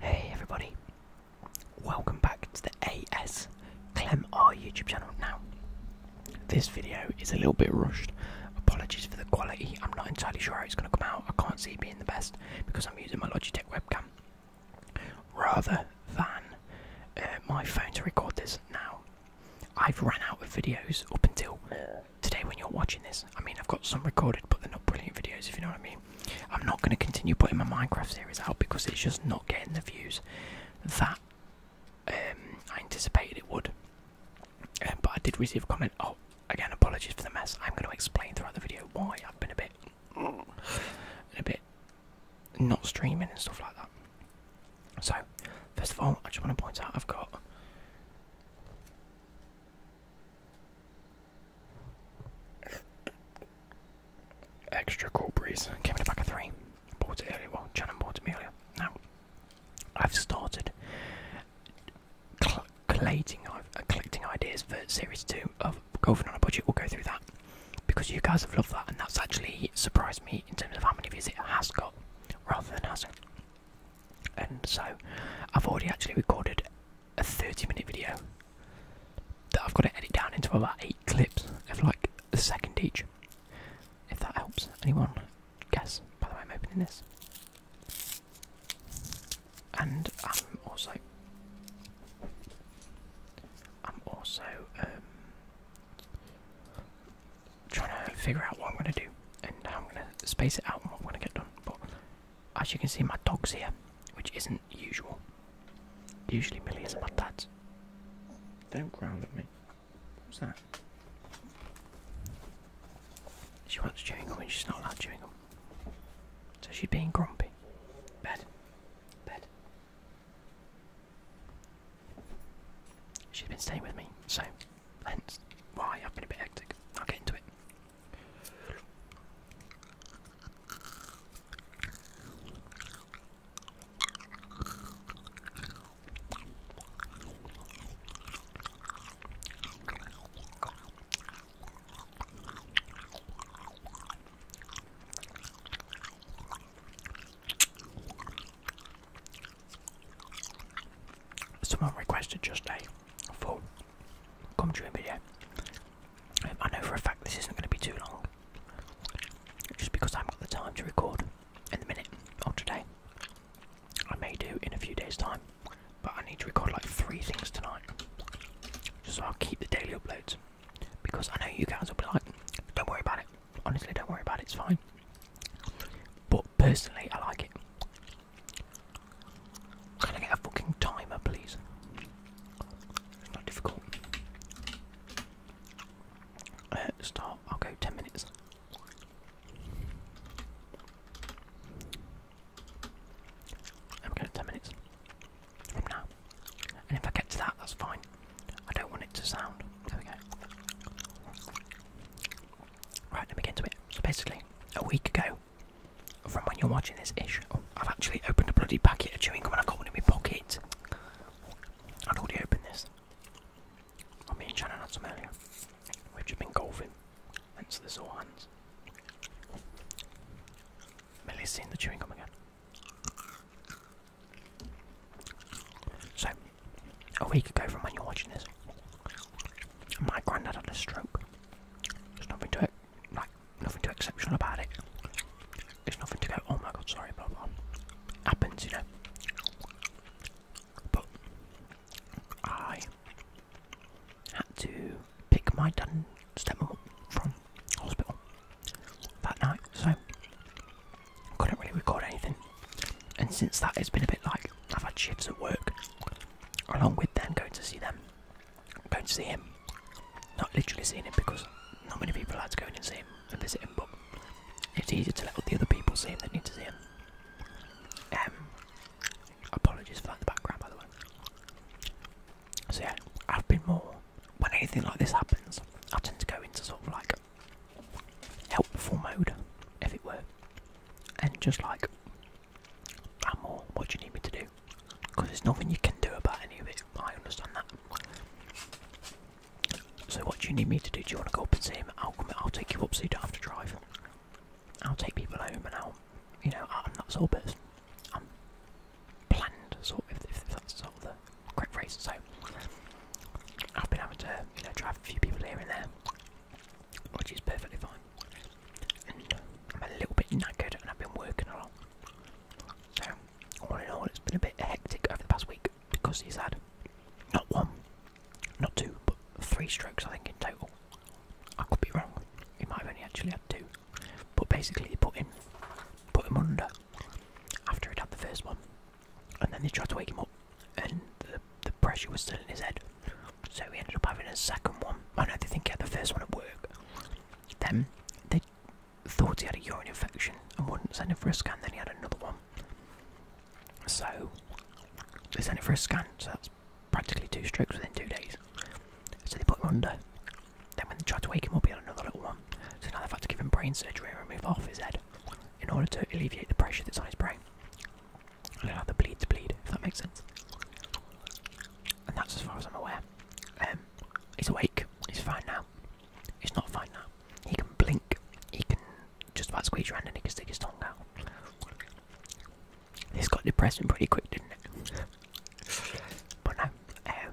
Hey everybody, welcome back to the AS Clem R YouTube channel. Now, this video is a little bit rushed. Apologies for the quality, I'm not entirely sure how it's going to come out. I can't see it being the best because I'm using my Logitech webcam rather than uh, my phone to record this. Now, I've ran out of videos up until today when you're watching this. I mean, I've got some recorded, but they're not brilliant videos, if you know what I mean. I'm not going to continue putting my Minecraft series out because it's just not getting the views that um, I anticipated it would. Um, but I did receive a comment. Oh, again, apologies for the mess. I'm going to explain throughout the video why I've been a bit, a bit not streaming and stuff like that. So, first of all, I just want to point out I've got Extra cool breeze. Came in a pack of three. Bought it earlier. Well, Shannon bought Amelia. Now, I've started cl collating, uh, collecting ideas for Series 2 of Golfing on a Budget. We'll go through that because you guys have loved that, and that's actually surprised me in terms of how many views it has got rather than hasn't. And so, I've already actually recorded a 30 minute video that I've got to edit down into about 8 clips of like a second each. If that helps anyone guess, by the way, I'm opening this. And I'm also. I'm also um, trying to figure out what I'm going to do and how I'm going to space it out and what I'm going to get done. But as you can see, my dog's here, which isn't usual. Usually, Millie is at my dad's. Don't growl at me. What's that? She wants chewing gum and she's not allowed chewing gum. So she's being grumpy. Bed. Bed. She's been staying with me, so hence why I've been a bit hectic. I'll get into it. Someone requested just a for commentary video. I know for a fact this isn't going to be too long, just because I haven't got the time to record in the minute of today. I may do in a few days' time, but I need to record like three things tonight, just so I'll keep the daily uploads. Because I know you guys will be like, don't worry about it. Honestly, don't worry about it. It's fine. But Personally, I like it. Can I get a fucking timer, please? It's not difficult. Uh, start, I'll go 10 minutes. I'm going to 10 minutes from now. And if I get to that, that's fine. I don't want it to sound. There we go. Right, let me get into it. So basically, a week ago, from when you're watching this ish. I've actually opened a bloody packet of chewing gum and I've got one in my pocket. I'd already opened this. I oh, mean, Shannon had some Somalia. We've just been golfing, hence the sore hands. Millie's seen the chewing gum again. So, a week ago from when you're watching this, my granddad had a stroke. There's nothing to it, like nothing too exceptional about it. There's nothing to go. Oh my god, sorry, blah blah. Happens, you know. But I had to pick my dad up from hospital that night, so couldn't really record anything. And since that, it's been a bit like I've had shifts at work, along with then going to see them, going to see him. Not literally seeing him because not many people allowed to go and see him and visit him, but it's easier to let the other people see him that need to see him. Um, apologies for the background, by the way. So yeah, I've been more. When anything like this happens, I tend to go into sort of like helpful mode, if it were, and just like and What do you need me to do? there's nothing you can do about any of it. I understand that. So what do you need me to do? Do you want to go up and see him? I'll come. I'll take you up so you don't have to drive. I'll take people home and I'll, you know, I'm that sort of I'm planned, sort of, if, that's sort of the correct phrase. So I've been having to, you know, drive a few people here and there which is perfectly fine. I'm a little bit knackered and I've been working a lot. So, all in all, it's been a bit hectic over the past week because he's had not one, not two, but three strokes, I think, in total. I could be wrong, he might have only actually had two. But basically, they put him, put him under after he'd had the first one, and then they tried to wake him up and the, pressure was still in his head. So he ended up having a second one. I know they think he had the first one at work. Then they thought he had a urine infection and wouldn't send him for a scan. Then he had another one. So they sent him for a scan. So that's practically two strokes within two days. So they put him under. Then when they tried to wake him up, he had another little one. So now they've had to give him brain surgery and remove off his head in order to alleviate the pressure that's on his brain allow the bleed to bleed, if that makes sense. And that's as far as I'm aware. Um, he's awake, he's fine now. He's not fine now. He can blink, he can just about squeeze around, and he can stick his tongue out. This got depressing pretty quick, didn't it? but no, um,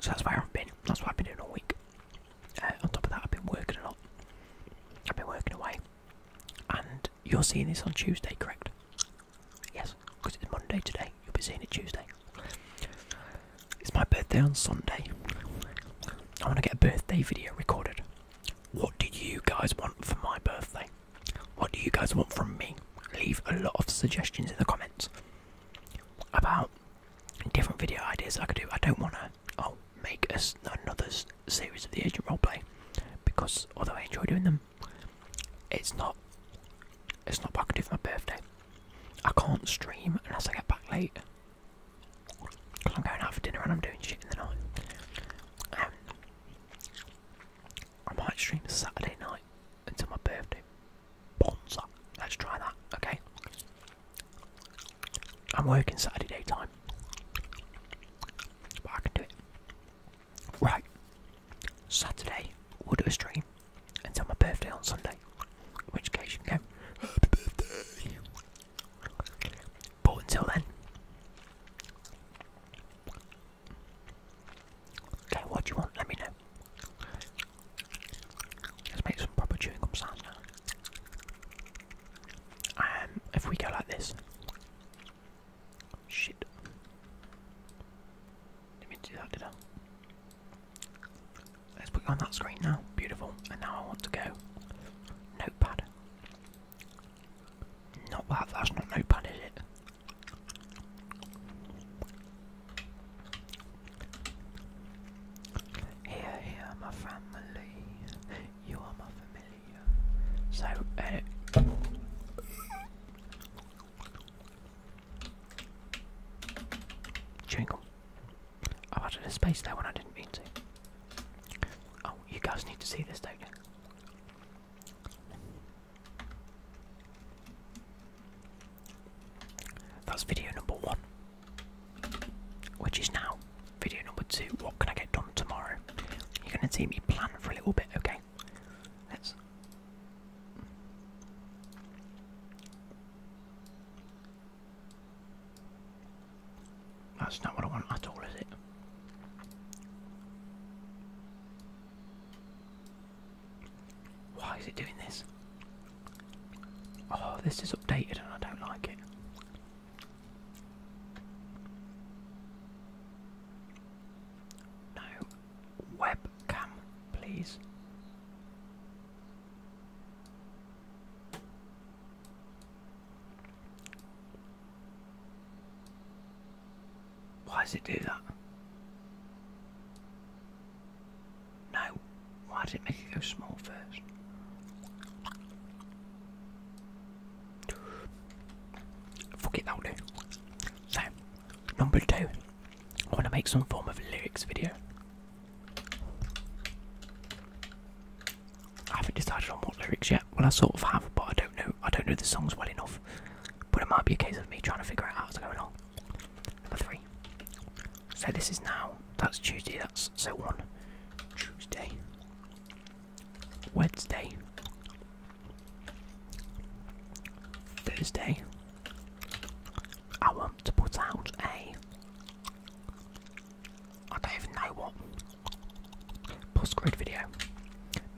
so that's where I've been, that's what I've been doing all week. Uh, on top of that, I've been working a lot. I've been working away, and you're seeing this on Tuesday, correct? Yes, because it's Monday today. You'll be seeing it Tuesday. It's my birthday on Sunday. I want to get a birthday video recorded. What did you guys want for my birthday? What do you guys want from me? Leave a lot of suggestions in the comments about different video ideas I could do. I don't want to I'll make another series of the Agent Roleplay because although I enjoy doing them, it's not it's not what I can do for my birthday. I can't stream unless I get back late because I'm going out for dinner and I'm doing shit in the night. Um, I might stream Saturday night until my birthday. Bonza. Let's try that, okay? I'm working Saturday daytime. But I can do it. Right. Saturday, we'll do a stream until my birthday on Sunday. which case you can go, Happy birthday! But until then. Okay, what do you want? Let me know. Let's make some proper chewing gum sounds now if we go like this, shit. Let me do that. Did Let's put on that screen now. Beautiful. And now I want to go notepad. Not that. That's not notepad, is it? Here, here, my family. You are my familiar. So, uh, i wanted added a space there when I didn't mean to. Oh, you guys need to see this, don't you? That's video number one. Which is now video number two. What can I get done tomorrow? You're gonna see me plan for a little bit, okay? That's not what I want at all, is it? Why is it doing this? Oh, this is updated and I don't like it. No. Webcam, please. Why does it do that? No, why did it make it go small first? Fuck that'll So, number two, I want to make some form of lyrics video. I haven't decided on what lyrics yet. Well, I sort of have, but I don't know. I don't know the songs well enough. But it might be a case of me trying to figure out how to go along. Number three, so this is now. That's Tuesday. That's so on. Tuesday. Wednesday. Thursday. I want to put out a. I don't even know what. Post grade video.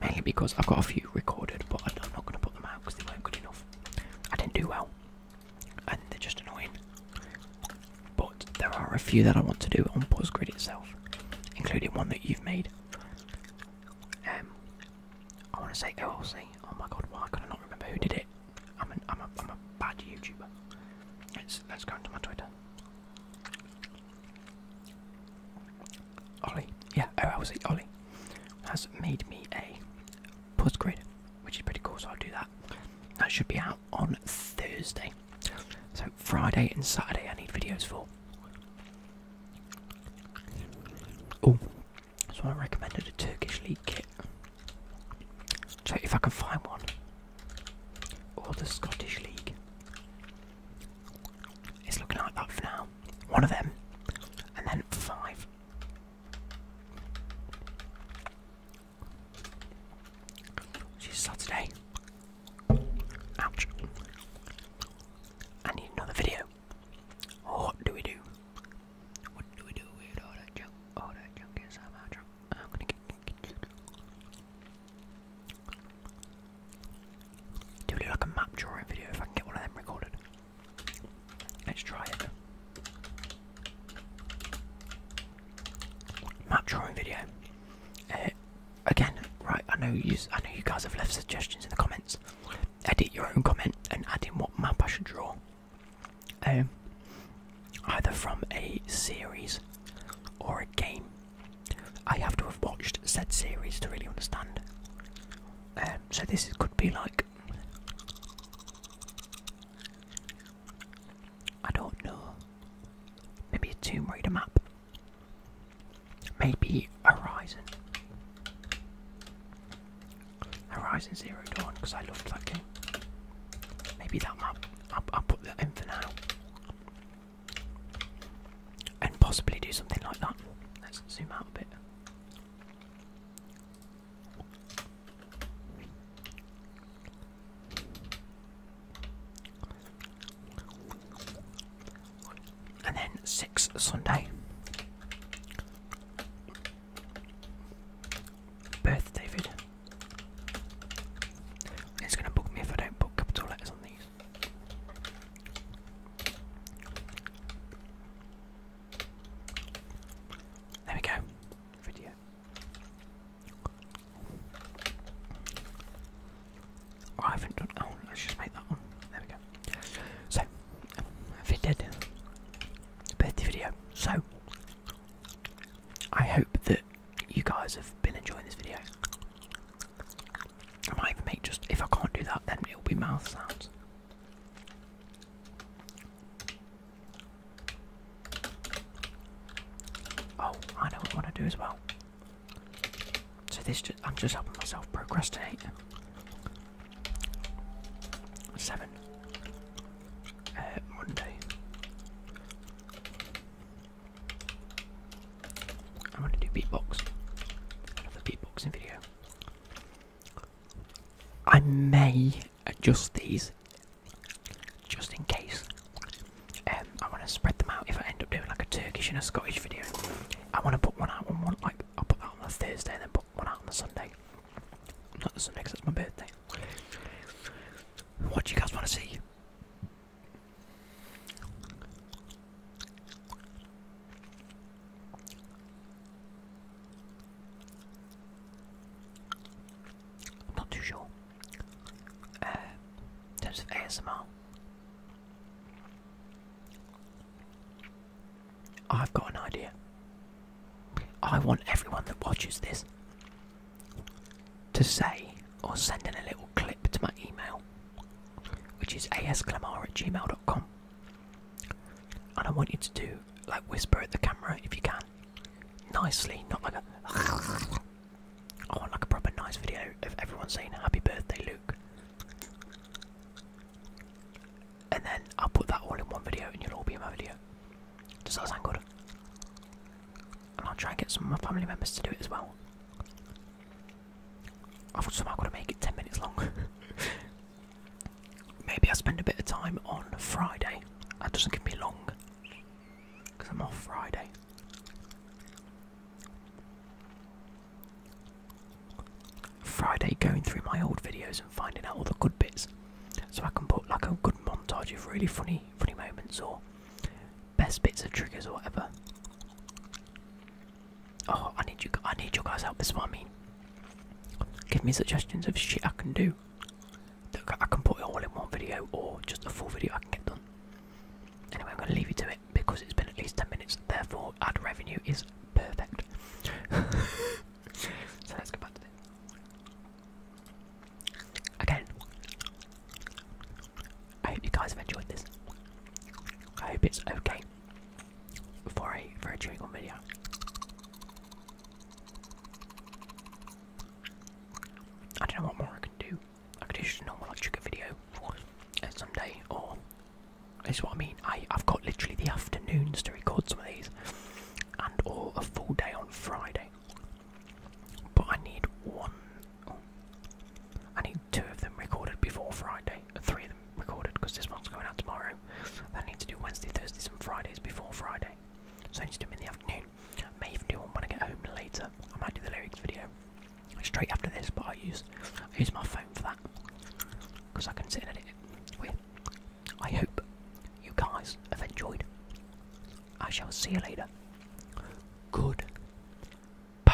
Mainly because I've got a few recorded, but I'm not going to put them out because they weren't good enough. I didn't do well and they're just annoying. But there are a few that I want to do on Grid itself, including one that you've made. Um, I want to say OLC. Oh my god, why can I not remember who did it? I'm, an, I'm, a, I'm a bad YouTuber. Let's, let's go into my Twitter. Ollie, yeah, OLC, Ollie has made me a Grid, which is pretty cool. So I'll do that. That should be out on Thursday. So Friday and Saturday, I need videos for. Oh, so I recommended a Turkish League kit. Check if I can find one, or the Scottish League, it's looking like that for now. One of them, and then five. She's Saturday. Ouch. I need another video. What do we do? What do we do with all that junk? All that junk is I'm out I'm gonna do like a map drawing video if I can get one of them recorded? Let's try it. Map drawing video. Uh, again, right? I know you. I know you guys have left suggestions in the comments. Edit your own comment and add in what map I should draw. Um, either from a series or a game. I have to have watched said series to really understand. Um, so this could be like I don't know. Maybe a Tomb Raider map. Maybe Horizon. Horizon Zero Dawn, because I loved that game. Maybe that map. I'll put that in for now. And possibly do something like that. Let's zoom out a bit. And then six Sunday. Birth David. It's gonna book me if I don't put capital letters on these. There we go. Video. Oh, I haven't done. Oh, let's just make that one. There we go. So, if it did, birthday video. So, I hope that you guys have been enjoying this video. I might even make just if I can't do that, then it'll be mouth sounds. Oh, I know what I want to do as well. So this I'm just helping myself procrastinate. Seven. Uh, Monday. I'm gonna do beatbox. Another beatboxing video. I may adjust uh, these just in case. Um, I want to spread them out if I end up doing like a Turkish and a Scottish video. I want to put one out on one, like I'll put that on the Thursday and then put one out on the Sunday. Not the Sunday because that's my birthday. What do you guys want to see? i not too uh, terms of ASMR, I've got an idea. I want everyone that watches this to say or send in a little clip to my email, which is asclamar at gmail.com. And I want you to do like whisper at the camera if you can. Nicely, not like a I want like a proper nice video of everyone saying happy birthday Luke. And then I'll put that all in one video and you'll all be in my video. Does that sound good? And I'll try and get some of my family members to do it as well. I've somehow got to make it 10 minutes long. Maybe I spend a bit of time on Friday. That doesn't give me long because I'm off Friday. Friday going through my old videos and finding out all the good bits. So I can put like a good montage of really funny funny moments or best bits of triggers or whatever. Oh I need you I need your guys help, this is what I mean. Give me suggestions of shit I can do. I can put it all in one video or just a full video I can get done. Anyway, I'm going to leave you to it because it's been at least 10 minutes, therefore, ad revenue is perfect. so let's go back to this. Again, I hope you guys have enjoyed this. I hope it's okay for a for a chewing on video. I don't know what more I can do. I could do just a normal like chicken video at some day or that's what I mean. I, I've got literally the afternoons to record some of these and or a full day on Friday. But I need one I need two of them recorded before Friday Three of them recorded because this one's going out tomorrow. I need to do Wednesday, Thursdays, and Fridays before Friday. So I need to do it in the afternoon. Maybe even do one when I get home later. I might do the lyrics video straight after this, but I use I use my phone for that because I can sit and edit it. With. I hope you guys have enjoyed. I shall see you later. Good. Bye.